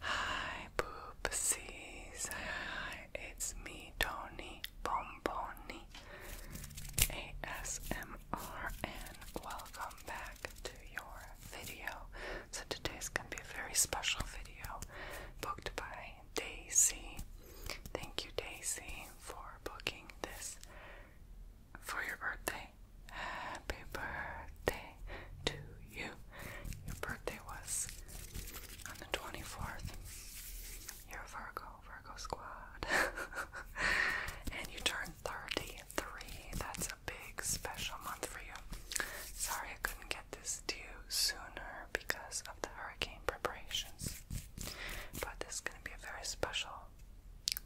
Hi, poopsies. it's me, Tony Bomboni ASMR, and welcome back to your video. So, today's gonna be a very special video booked by Daisy. Thank you, Daisy, for booking this for your birthday. Happy birthday to you. Your birthday was on the 24th. You're a Virgo, Virgo squad. and you turned 33. That's a big special month for you. Sorry I couldn't get this to you sooner because of the hurricane preparations. But this is going to be a very special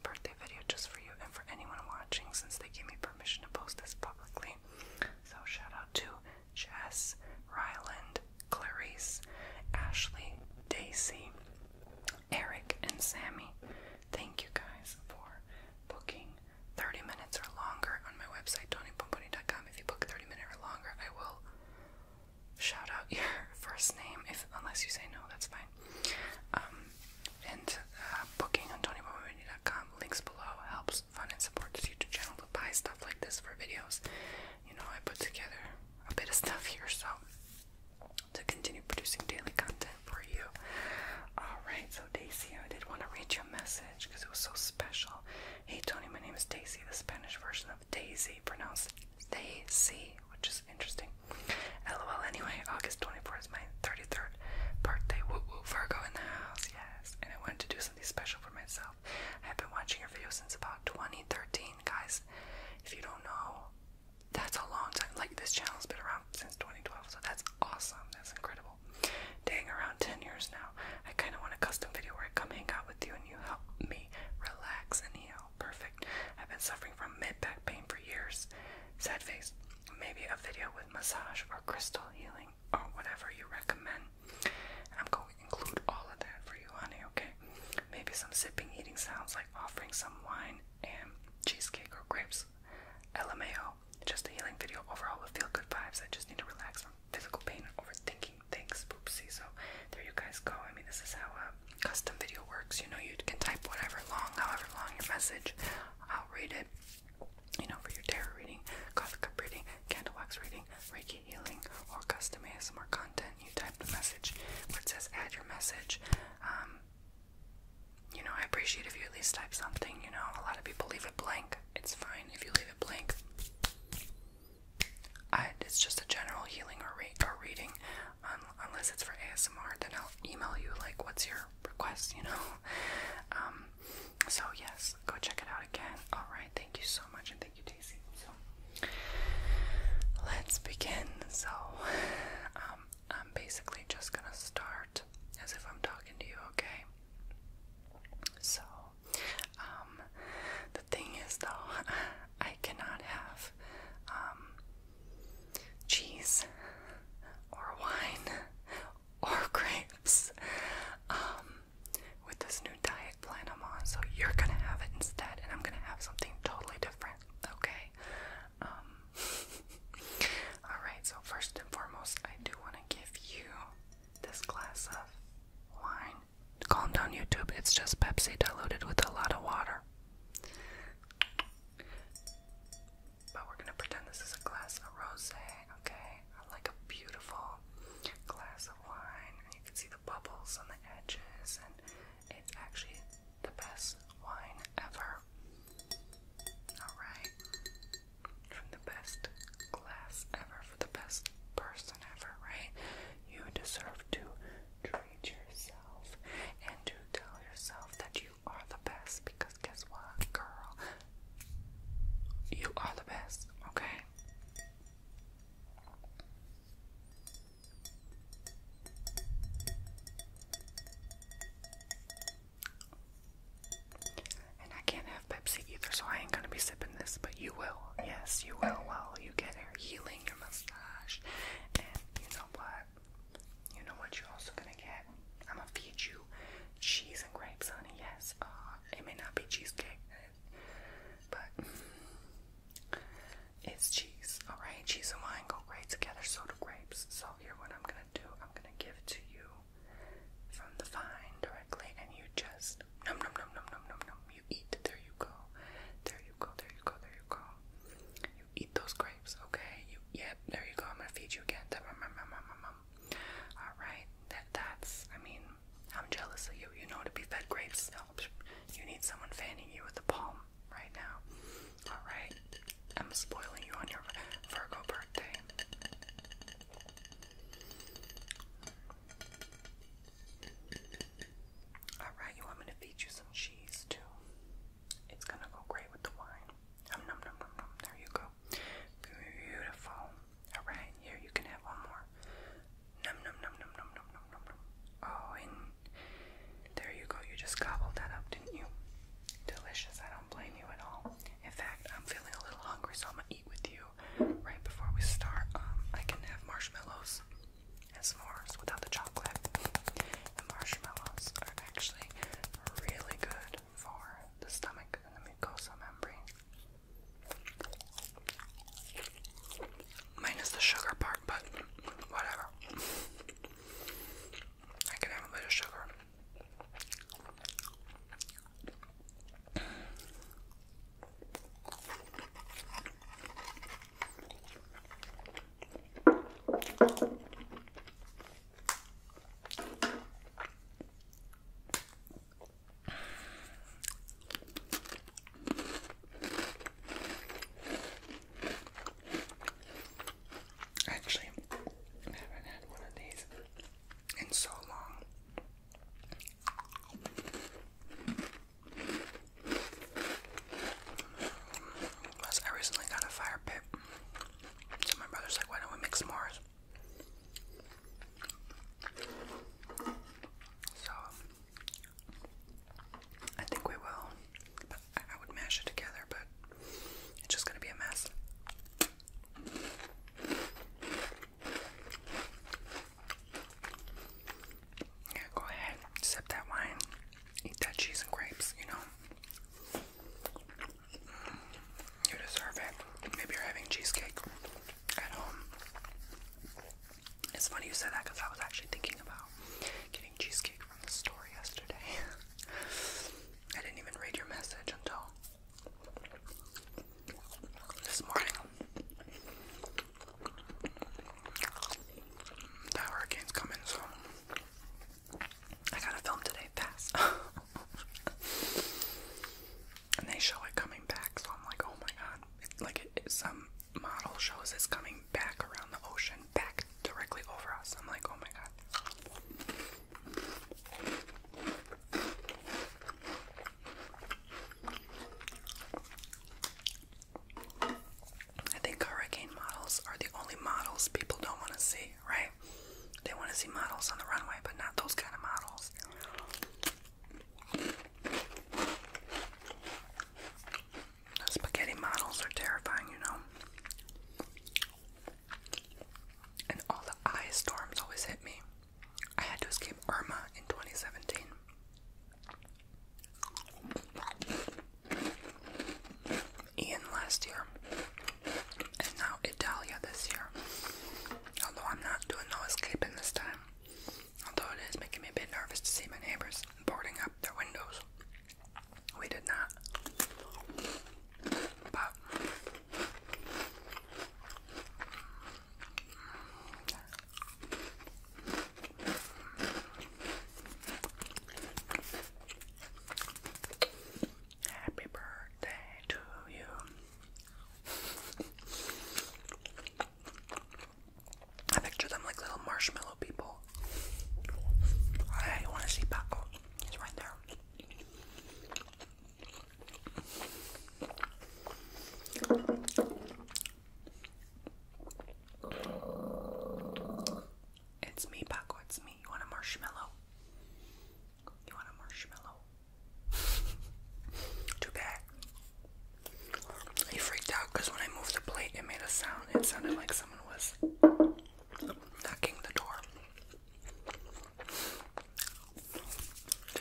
birthday video just for you and for anyone watching since they gave me permission to post this publicly. So shout out to Jess, Ryland, Clarice, Ashley, Daisy, Eric, and Sammy. Thank you guys for booking 30 minutes or longer on my website, tonypomponi.com. If you book 30 minutes or longer, I will shout out your first name if unless you say no, that's fine. Um, and uh, booking on TonyBoyMedia.com. Links below helps fund and support this YouTube channel to buy stuff like this for videos. You know, I put together a bit of stuff here, so to continue producing daily content for you. Alright, so Daisy, I did want to read your message because it was so special. Hey Tony, my name is Daisy, the Spanish version of Daisy, pronounced Daisy, which is interesting. LOL, anyway, August 24th is my 30 33rd birthday. Woo woo, Virgo in the house, yes. And I wanted to do something special for myself. I have been watching your videos since about 2013, guys. If you don't know, that's a long time. Like, this channel's been around since 2012, so that's awesome. That's incredible. Dang, around 10 years now. I kind of want a custom video where I come hang out with you and you help me relax and heal. Perfect. I've been suffering from mid back pain for years. Sad face maybe a video with massage or crystal healing or whatever you recommend. I'm going to include all of that for you, honey, okay? Maybe some sipping eating sounds like offering some wine and cheesecake or grapes. LMAO, just a healing video overall with feel good vibes. I just need to relax from physical pain and overthinking things. Oopsie. So there you guys go. I mean, this is how a custom video works. You know, you can type whatever long, however long your message. I'll read it you know, for your tarot reading, coffee cup reading, candle wax reading, Reiki healing, or custom ASMR content, you type the message where it says add your message. Um, you know, I appreciate if you at least type something, you know, a lot of people leave it blank. It's fine if you leave it blank. I, it's just a general healing or, re or reading. unless it's for ASMR, then I'll email you, like, what's your requests, you know. Um, so yes, go check it out again. All right, thank you so much, and thank you, Daisy. So let's begin. So um, I'm basically just gonna start as if I'm talking to you, okay? So um, the thing is, though, I cannot have um, cheese or wine or grapes um, with this new diet plan I'm on. So you're gonna have it instead, and I'm gonna have something totally different, okay? Um, Alright, so first and foremost, I do want to give you this glass of wine. Calm down, YouTube, it's just Pepsi diluted with a lot of water. But we're gonna pretend this is a glass of rosé, okay? Like a beautiful glass of wine, and you can see the bubbles on the edges, and it's actually the best wine ever. Alright. From the best glass ever, for the best person ever, right? You deserve to treat yourself and to tell yourself that you are the best because guess what, girl? You are the best, okay? And I can't have Pepsi either, so I ain't gonna be sipping this, but you will. Yes, you will. Well, you get hair healing, your mustache, and you know what? You know what you're also gonna get? I'm gonna feed you cheese and grapes, honey. Yes, uh, it may not be cheesecake, but it's cheese. All right, cheese and wine go great together. So do grapes. So here, what I'm gonna do? I'm gonna give it to you from the vine directly, and you just num num num num num num num. You eat. There you go. There you go. There you go. There you go. You eat those grapes. Okay. Yep. There you go. I'm gonna feed you again. All right. That. That's. I mean, I'm jealous of you. You know to be fed grapes. You need someone fanning you with a palm right now. All right. I'm spoiling you on your Virgo birthday. Alright, you want me to feed you some cheese too? It's gonna go great with the wine. num num num num. There you go. Beautiful. Alright, here you can have one more. Num num num num num num num num. Oh, and there you go. You just gobbled that up, didn't you? Delicious. I don't blame you at all. In fact, I'm feeling a little hungry, so I'm gonna eat with you right before we start. Um, I can have marshmallows and s'mores without the chocolate. The marshmallows are actually really good for the stomach and the mucosa membrane. Minus the sugar part, but whatever. I can have a bit of sugar. Actually, I haven't had one of these in so long. I recently got a fire pit so my brother's like, why don't we make s'mores? So I think we will. I would mash it together, but it's just gonna be a mess. Yeah, go ahead, sip that wine, eat that cheese and grapes, you know. You deserve it. Maybe you're having cheesecake at home. It's funny you said that because I was actually thinking about getting cheesecake from the store yesterday. I didn't even read your message until this morning. The hurricane's coming, so I gotta film today fast. and they show it coming back, so I'm like, oh my god. like it, some model shows it's coming back around the ocean, back directly over us. I'm like, oh my god. I think hurricane models are the only models people don't want to see right? They want to see models on the runway, but not those kind of models. Those spaghetti models are terrifying, you know. And all the eye storms always hit me. I had to escape Irma in 2017. Ian last year, and now Italia this year. Although I'm not doing no escaping this time, although it is making me a bit nervous to see my neighbors boarding up their windows. We did not. But Happy birthday to you. I picture them like little marshmallow people. I want to see Paco. He's right there. It's me, Paco. It's me. You want a marshmallow? You want a marshmallow? Too bad. He freaked out because when I moved the plate, it made a sound. It sounded like someone was knocking the door.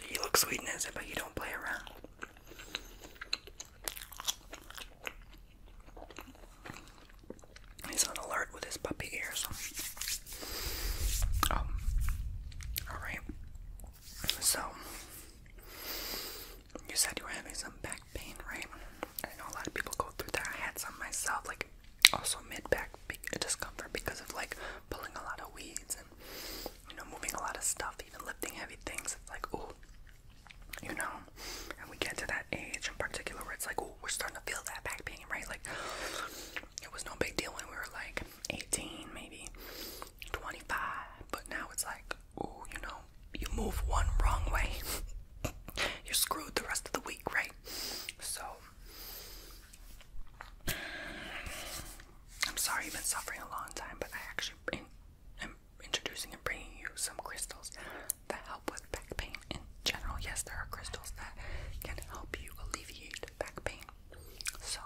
He looks sweet and innocent, but you don't play around. He's on alert with his puppy ears. Um, alright. So, you said you were having some back pain, right? I know a lot of people go through that. I had some myself, like also mid back discomfort because of like pulling a lot of weeds and you know, moving a lot of stuff, even lifting heavy things. It's like, ooh, you know, and we get to that age in particular where it's like, ooh, we're starting to feel that back pain, right? Like, it was no big deal when we were like 18, maybe 25, but now it's like, ooh, you know, you move one wrong way, you're screwed the rest of the week, right? So, I'm sorry you've been suffering a long time, but I actually am introducing and bringing you some crystals that help with back pain in general. Yes, there are crystals that can help you alleviate back pain. So,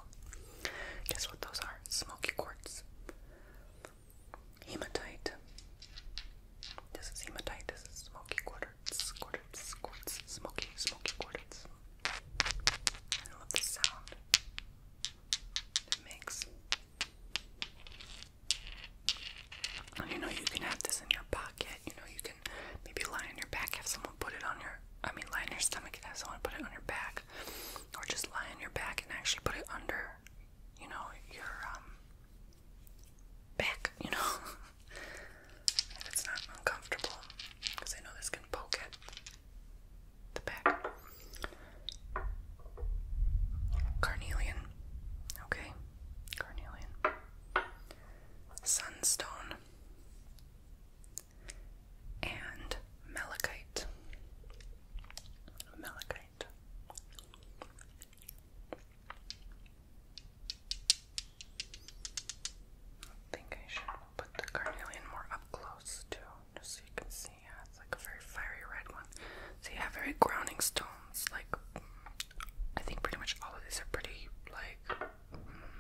guess what those are? Smoky quartz, hematite. This is hematite, this is smoky quartz, quartz, quartz, smoky, smoky quartz. I love the sound it makes. you know, you can have this in your pocket, you know, you maybe lie on your back, have someone put it on your I mean lie on your stomach and have someone put it on your back. Or just lie on your back and actually put it under, you know, your um, back, you know. if it's not uncomfortable. Because I know this can poke at the back. Carnelian. Okay. Carnelian. Sunstone and malachite. Malachite. I think I should put the carnelian more up close too, just so you can see. it's like a very fiery red one. So you very grounding stones, like I think pretty much all of these are pretty like mm,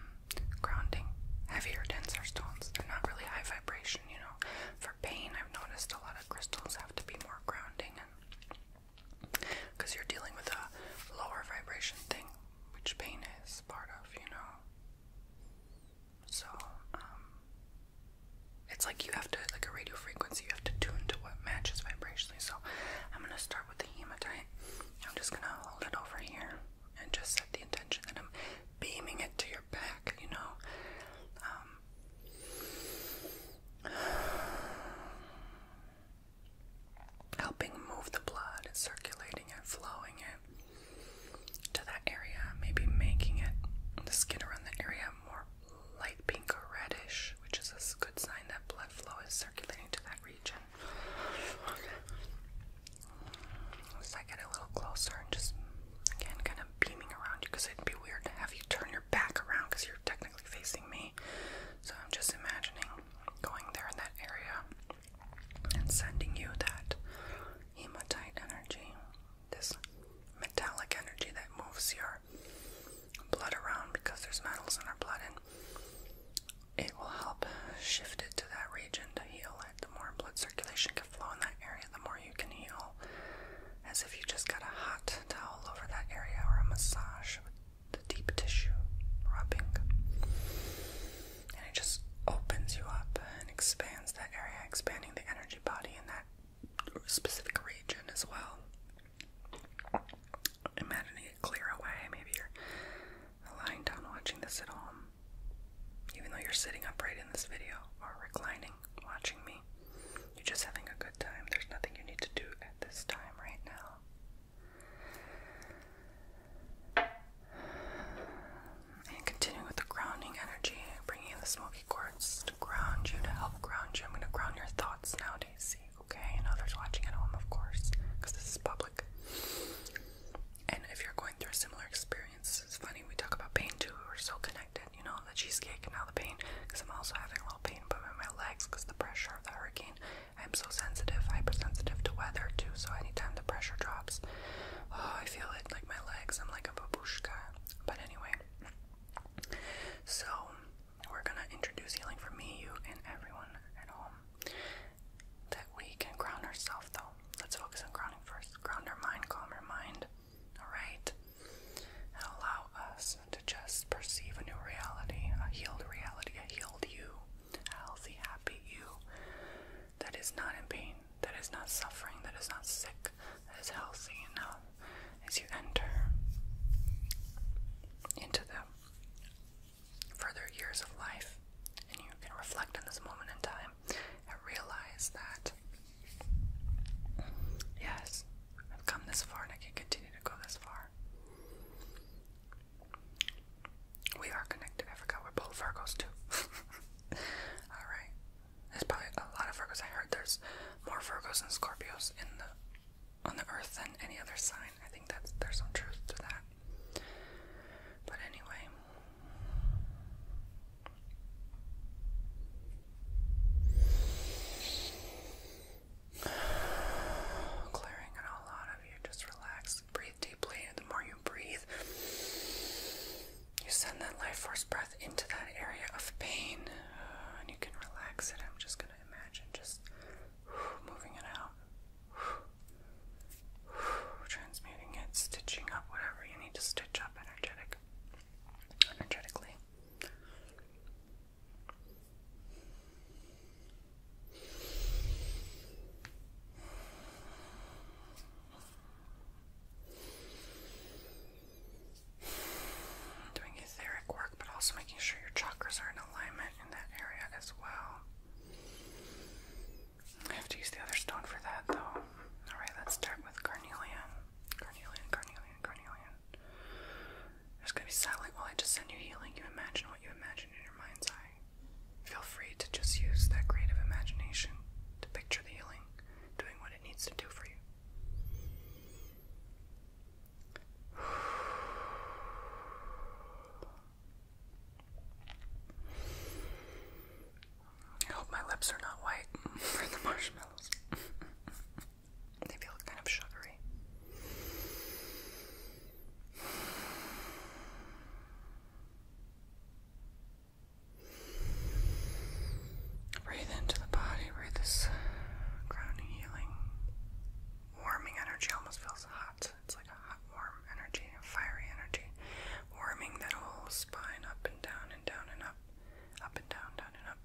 grounding, heavier, denser stones. They're not really high vibration, you know. For pain, I've noticed a lot of crystals have to be more grounding, and because you're dealing with a lower vibration thing, which pain is part of, you know. So, um, it's like you have to, like a radio frequency, you have to tune to what matches vibrationally. So, I'm gonna start with the hematite. I'm just gonna hold it over here and just set the intention that I'm beaming it to your back, you know. Um, helping move the blood, circulating it, flowing it to that area, maybe making it the skin around the area more light pink or reddish, which is a good sign that blood flow is circulating to that region. As I get a little closer and just again kind of beaming around you because it'd be weird to have you turn your back around because you're technically facing me. So I'm just imagining going there in that area and sending you that hematite energy, this metallic energy that moves your blood around because there's metals in our blood it will help shift it to that region to heal it. The more blood circulation can flow in that area, the more you can heal. As if you just got a hot towel over that area or a massage with the deep tissue rubbing. And it just opens you up and expands that area, expanding the energy body in that specific region as well. Imagining it clear away. Maybe you're lying down watching this at home, even though you're sitting upright in this video or reclining watching me, you're just having a good time. There's nothing you need to do at this time right now. And continuing with the grounding energy, bringing in the smoky quartz to ground you, to help ground you. I'm going to ground your thoughts now, Daisy okay? And others watching at home, of course, because this is public. And if you're going through a similar experience, it's funny, we talk about pain too. We're so connected, you know, the cheesecake and all the pain, because I'm also having a little pain but in my legs because the pressure of the hurricane. I'm so sensitive, hypersensitive to weather too, so anytime the pressure drops, oh, I feel it like my legs. I'm like a babushka. But anyway, so we're gonna introduce healing for me, you, and everyone at home that we can crown ourselves though. Let's focus on crowning first. Ground our mind, calm our mind. Alright? And allow us to just perceive a new reality, a healed reality, a healed you, a healthy, happy you that is not in pain, that is not suffering, that is not sick, that is healthy enough as you enter into them further years of life, and you can reflect on this moment in time and realize that, yes, I've come this far and I can continue to go this far. We are connected. I forgot we're both Virgos, too. Alright. There's probably a lot of Virgos. I heard there's more Virgos and Scorpios in the on the earth than any other sign. I think that there's some truth to that. But anyway. Clearing it all out of you. Just relax. Breathe deeply. And the more you breathe, you send that life force breath into that area of pain. And you can relax it. I'm just going to imagine just moving it out. transmuting it, stitching up whatever you need to stitch up energetic energetically. Doing etheric work, but also making sure your chakras are in alignment in that area as well. I have to use the other stone for that, though. Alright, let's start with carnelian. Carnelian, carnelian, carnelian. There's gonna be silent while I just send you healing. You imagine what you imagine in your mind's eye. Feel free to just use that creative imagination to picture the healing doing what it needs to do for you. I hope my lips are not white for the marshmallows. they feel kind of sugary. Breathe into the body, breathe this grounding, healing, warming energy. Almost feels hot. It's like a hot, warm energy, a fiery energy, warming that whole spine up and down and down and up, up and down, down and up.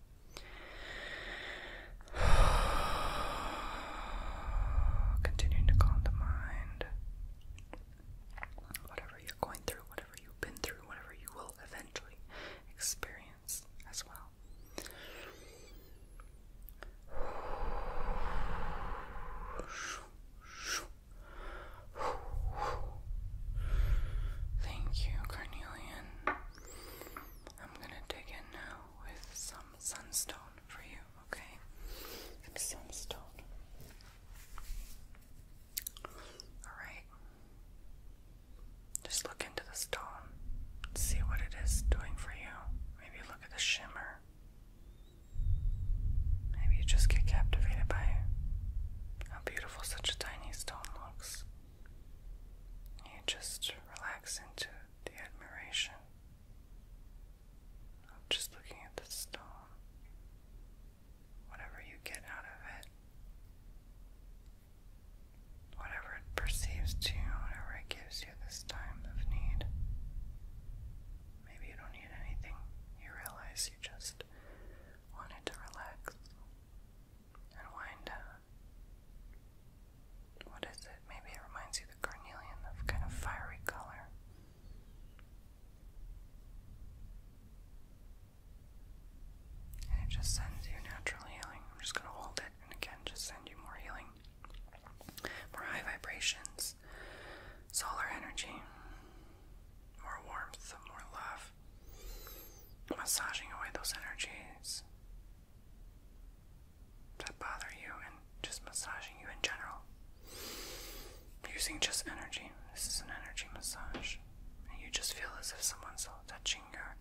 Continuing to calm the mind. Whatever you're going through, whatever you've been through, whatever you will eventually experience as well. Thank you, Carnelian. I'm gonna dig in now with some sunstone for you, okay? Some sunstone. Alright. Just look into the stone. See what it is doing for you. Maybe look at the shimmer. Maybe you just get captivated by how beautiful such a tiny stone looks. You just relax into the admiration of just looking at the stone. Whatever you get out of it, whatever it perceives to you, whatever it gives you this time of need, Maybe you don't need anything. You realize you just wanted to relax and wind down. What is it? Maybe it reminds you the carnelian, that kind of fiery color. And it just sends you natural healing. I'm just going to hold it and again just send you more healing more high vibrations, solar energy, more warmth, more love, massaging away those energies that bother you and just massaging you in general. Using just energy. This is an energy massage. And you just feel as if someone's touching your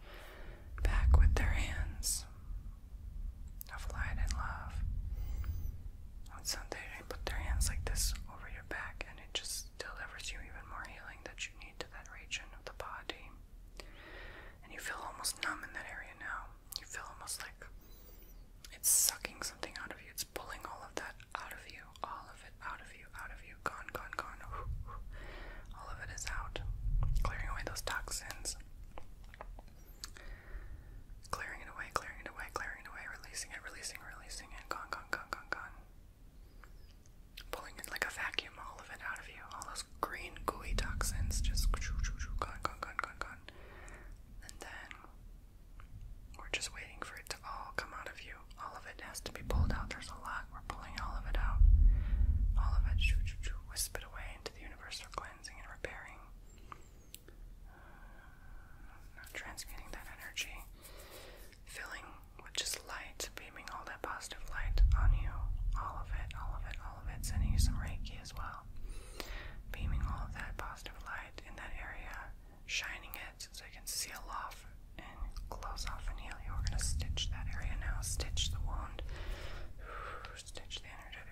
back with their hands of light and love. On Sunday, they put their hands like this over your back, and it just delivers you even more healing that you need to that region of the body. And you feel almost numb in that area now. You feel almost like it's sucking something out of you, it's pulling all of that out of you, all of it out of you, out of you, gone, gone, gone. All of it is out, clearing away those toxins. Clearing it away, clearing it away, clearing it away, releasing it, releasing, releasing it, gone, gone, gone, gone, gone. Pulling it like a vacuum, all of it out of you. All those green, gooey toxins just gone, gone, gone, gone, gone. And then we're just waiting for it to all come out of you. All of it has to be pulled out. There's a lot. We're pulling all of it out. All of it, shoo, shoo, shoo, wisp it away into the universe for cleansing and repairing. Transmitting that energy, filling with just light, beaming all that positive light on you. All of it, all of it, all of it. Sending you some Reiki as well. Beaming all that positive light in that area, shining it so it can seal off and close off and heal you. We're going to stitch that area now, stitch the wound, stitch the energetic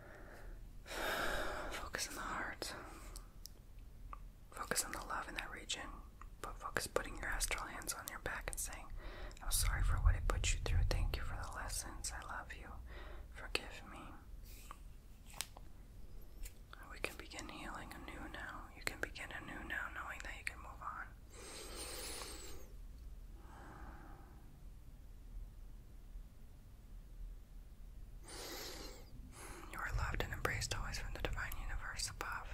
Focus on the heart. Focus on the love in that region. But focus putting your astral hands on your back and saying, I'm sorry for what I put you through. Thank you for the lessons. I love you. Forgive me. We can begin healing anew now. You can begin anew now knowing that you can move on. You are loved and embraced always from the divine universe above.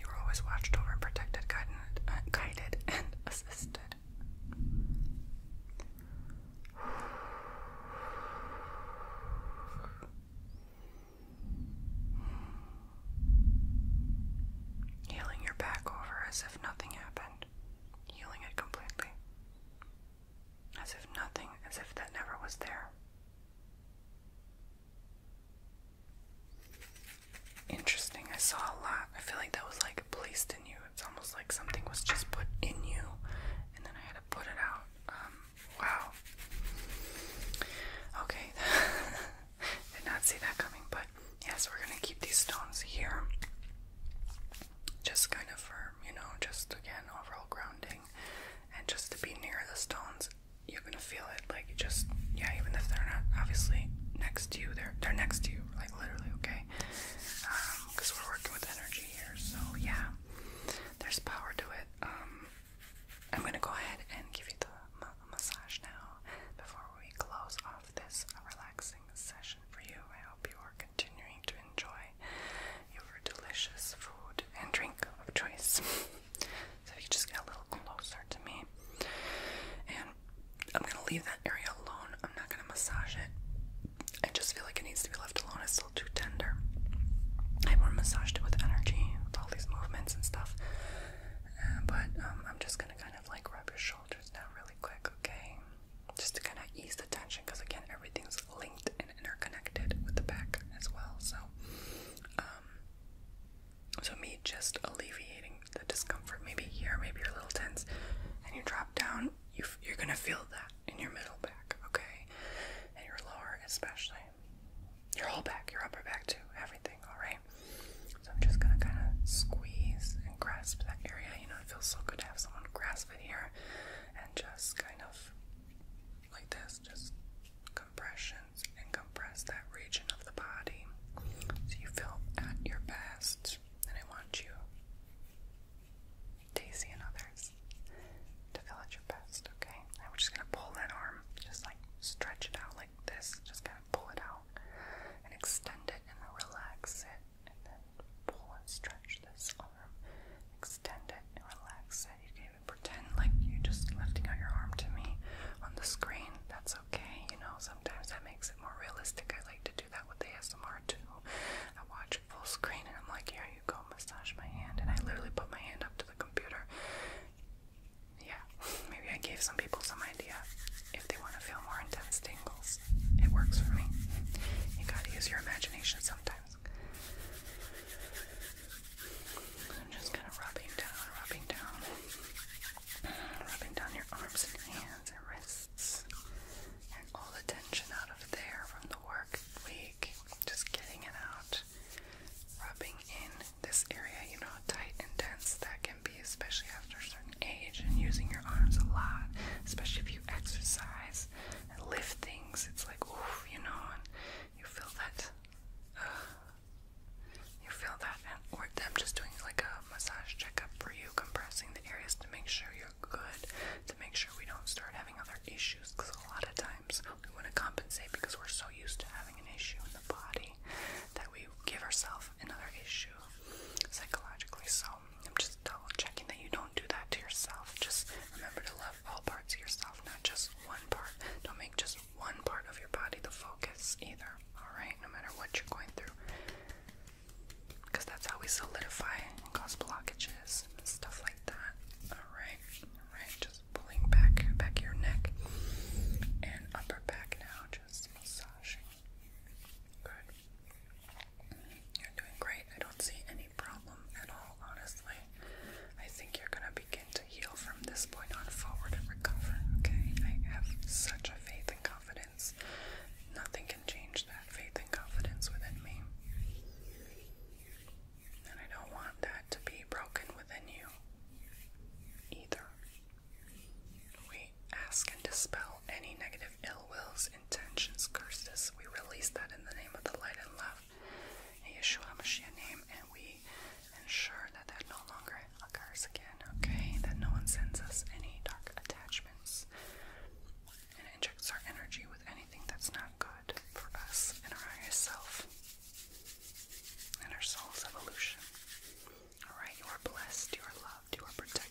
You are always watched over and protected, guided, uh, guided and assisted. Healing your back over as if nothing happened, healing it completely as if nothing, as if that never was there. Interesting. I saw a lot. I feel like that was like placed in you. It's almost like something was just put in you, and then I had to put it out. Um, wow. Okay. Did not see that coming, but yes, we're gonna keep these stones here just kind of firm, you know, just again, overall grounding, and just to be near the stones, you're gonna feel it, like you just, yeah, even if they're not obviously next to you, they're, they're next to you, like literally, okay? Because um, we're working with energy here, so yeah, there's power to it. Um, I'm gonna go ahead and give you the massage now before we close off this relaxing session for you. I hope you are continuing to enjoy your delicious food and drink of choice. so you just get a little closer to me. And I'm gonna leave that area alone. I'm not gonna massage it. I just feel like it needs to be left alone. It's still too tender. I want to massage it with energy, with all these movements and stuff. Uh, but um, I'm just gonna kind of like rub your shoulders now, really quick, okay? Just to kind of ease the tension, because again, everything's linked interconnected with the back as well. So, um, so me just alleviating the discomfort. Maybe here, maybe you're a little tense, and you drop down. You you're gonna feel that in your middle back, okay, and your lower especially. Your whole back, your upper back too, everything. All right. So I'm just gonna kind of squeeze and grasp that area. You know, it feels so good to have someone grasp it here, and just kind of like this, just compressions and compress that region of the body so you feel at your best. And I want you, Daisy and others, to feel at your best, okay? And we're just gonna pull that arm, just like stretch it out like this, just kind of pull it out and extend it and relax it and then pull and stretch this arm, extend it relax it. You can even pretend like you're just lifting out your arm to me on the screen. That's okay, you know, sometimes that makes it more realistic. I like to do that with the ASMR too. I watch full screen and I'm like, here you go, massage my hand, and I literally put my hand up to the computer. Yeah, maybe I gave some people some idea. If they want to feel more intense tingles, it works for me. You gotta use your imagination sometimes. I'm just kind of rubbing down, rubbing down, rubbing down your arms and hands and wrists, and all the tension out of there from the work week. Just getting it out, rubbing in this area. You know tight and dense that can be, especially after a certain age, and using your arms a lot, especially if you exercise and lift things. It's like, oof, you know, you feel that. you feel that, and or I'm just doing like a massage checkup for you, compressing the areas to make sure you're good, to make sure we don't start having other issues. Because a lot of times we want to compensate because we're so used to having an issue in the body that we give ourselves another issue psychologically. So I'm just double checking that you don't do that to yourself. Just remember to love all parts of yourself, not just one part. Don't make just one part of your body the focus either, alright? No matter what you're going through. Because that's how we solidify and cause blockages, and stuff like that. Alright, alright, just pulling back, back your neck and upper back now, just massaging. Good. You're doing great. I don't see any problem at all, honestly. I think you're going to begin to heal from this point on forward and recover, okay? I have such a faith and confidence. Nothing can change that faith and confidence within me. And I don't want that to be broken within you either. We ask and dispel any negative ill wills intentions, curses. We release that in the name of the light and love, Yeshua Mashiach's name, and we ensure that that no longer occurs again, okay? That no one sends us any dark attachments and injects our energy with anything that's not good for us and our higher self and our soul's evolution. Alright, you are blessed, you are loved, you are protected.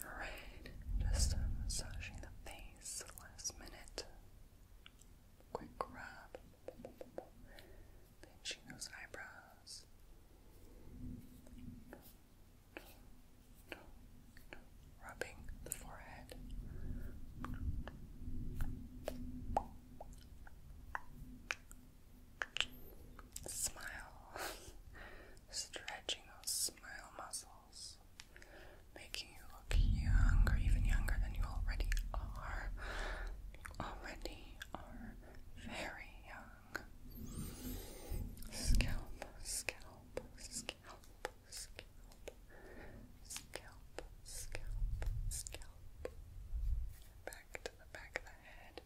Alright, just uh, massaging the face last minute. Quick rub. Pinching those eyebrows rubbing the forehead. Smile, stretching those smile muscles, making you look younger, even younger than you already are. already are very young scalp, scalp, scalp, scalp, scalp, scalp, scalp. Back to the back of the head,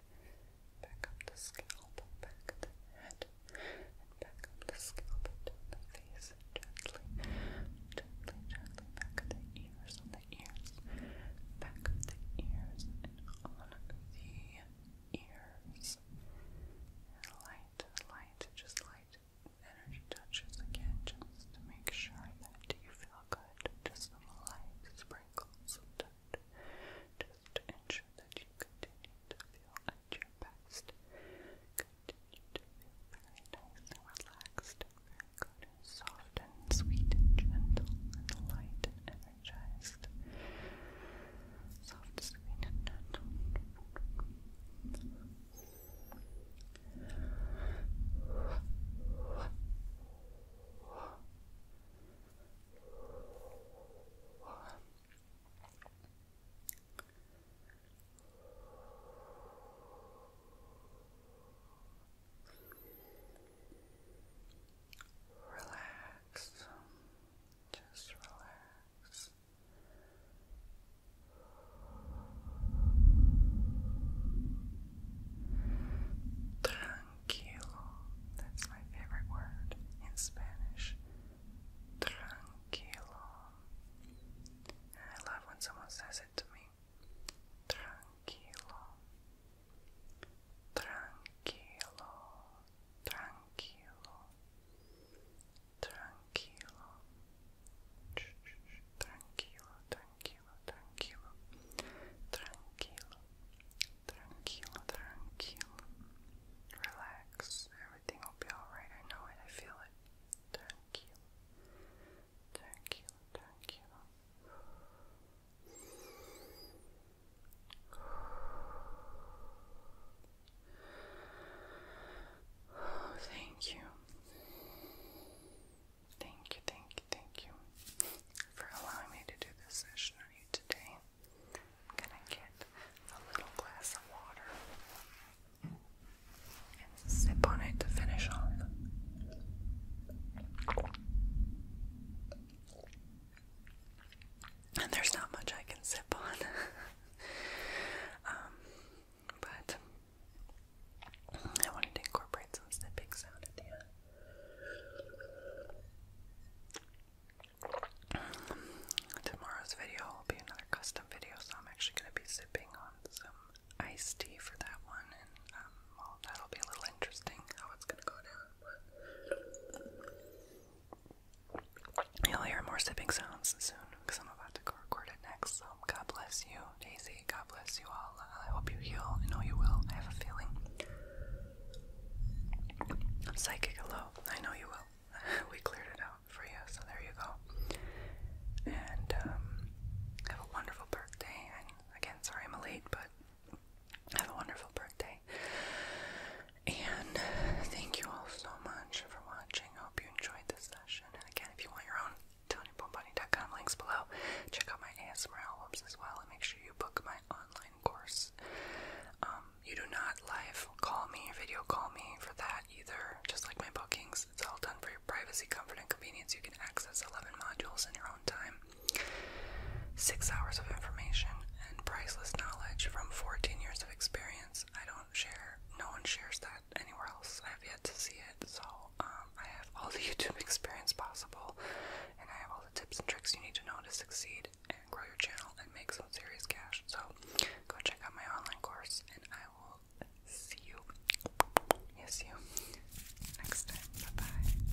back up the scalp, back of the head, and back up the scalp, down the face, gently, gently, gently, back of the ears, the ears, back of the ears, on the ears. light, light, just light energy touches again, just to make sure that you feel good. Just some light sprinkles just to ensure that you continue to feel at your best. Continue to feel very nice relaxed very good soft and sweet and gentle and light and energized. Soft, sweet, and gentle. Relax. Just relax. Tranquilo. That's my favorite word in Spanish. Tranquilo. I love when someone says it to me. Tranquilo tranquilo, tranquilo, tranquilo, tranquilo, tranquilo, tranquilo, tranquilo, tranquilo, tranquilo. Relax, everything will be alright. I know it, I feel it. Tranquilo, tranquilo, tranquilo thank you. Thank you, thank you, thank you for allowing me to do this session on you today. I'm gonna get a little glass of water and sip on it to finish off and there's not much I can sip on. Um, but I wanted to incorporate some snipping sound at the end. Um, tomorrow's video will be another custom video, so I'm actually going to be sipping on some iced tea for that one, and um, that'll be a little interesting how it's going to go down. You'll hear more sipping sounds soon because I'm about to go record it next. So, God bless you, Daisy. God bless you all. I hope you heal. I know you will. I have a feeling. Psychic, hello. I know you will. we cleared it out for you, so there you go. And um, have a wonderful birthday. And again, sorry I'm late, but have a wonderful birthday. And thank you all so much for watching. I hope you enjoyed this session. And again, if you want your own TonyBoneBunny.com links below, check out my ASMR albums as well. And make sure you book my online course. Um, you do not live call me or video call me for that either. Just like my bookings, it's all done for your privacy, comfort, and convenience. You can access 11 modules in your own time. Six hours of information and priceless knowledge from 14 years of experience. I don't share, no one shares that anywhere else. I have yet to see it. So, um, I have all the YouTube experience possible, and I have all the tips and tricks you need to know to succeed and grow your channel and make some serious cash. So, go check out my online course, and I will see you. Yes, you. Next time. Bye bye.